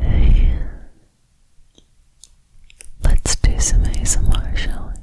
Hey. Let's do some ASMR, shall we?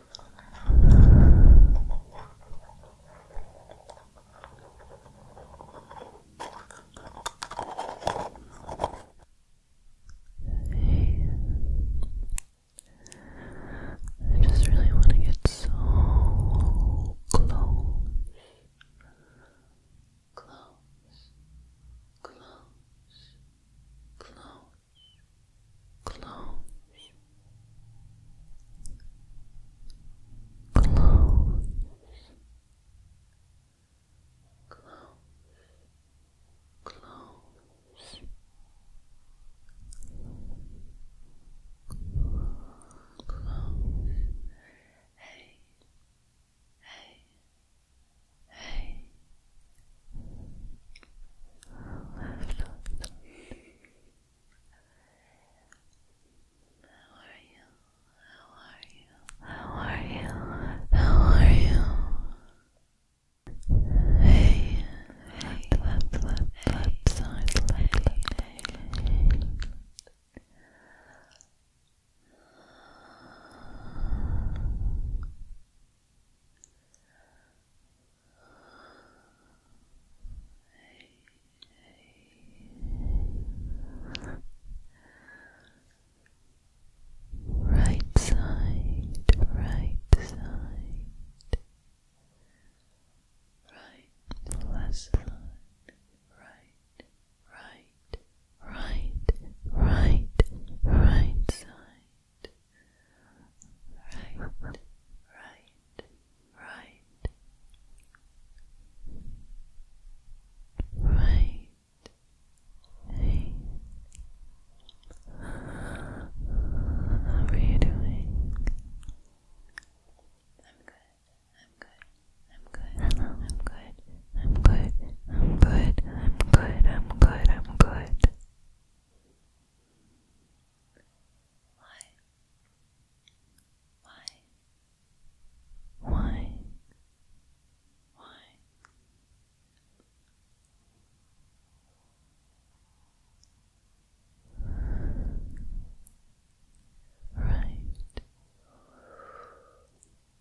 Hey. I just really want to get so close. Close. Close. Close close, close, close, close. Close. Hey, hey, Hey. Left foot. How are you? How are you? How are you? How are you? Hey. Left, left, left, side. Left, left, Right side, right side, right left side, right, right right, right, right, side, right, right, right, right, how are you doing? I'm good. I'm good. I'm good. I'm good. I'm good. I'm good. I'm good. I'm good. I'm good. Why? Why? Why? Why? Right.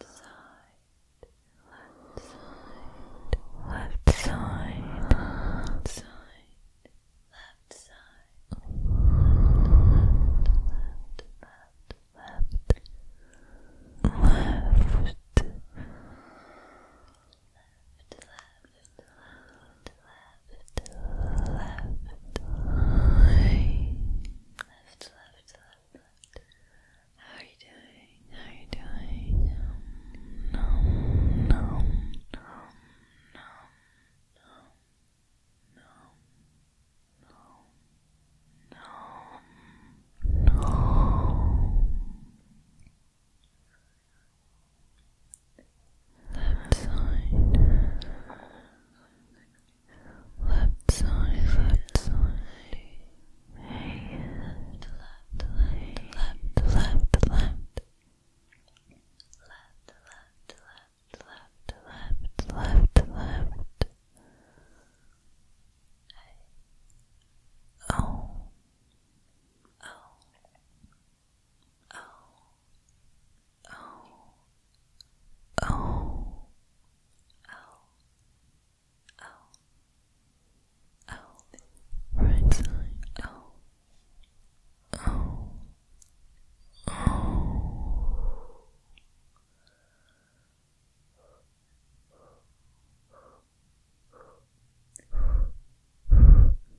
left side, left side, left side, left side, left side, left, left, left, left, left, left. Left, left, left, left, left, left, right. Left, left, How are you doing? How are you doing? Nom, nom, nom, nom, nom, nom, nom, nom, nom, left side, left side, left side, left, left, left, left, left. Left, left, left, left, left, left, left. Hey. Oh. Oh. Oh. Oh. O oh. O oh. O O right side O oh. O O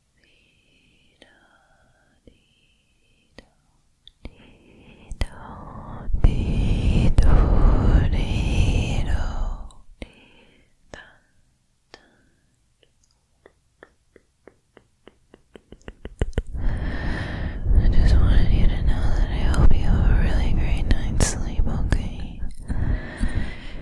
I just wanted you to know that I hope you have a really great night's sleep, okay?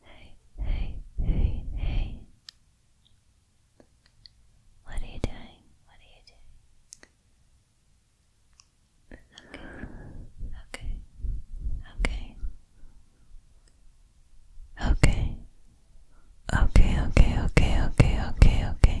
Hey, hey, hey, hey. What are you doing? What are you doing? Okay. Okay. Okay. Okay. Okay. Okay. Okay. Okay. Okay. Okay.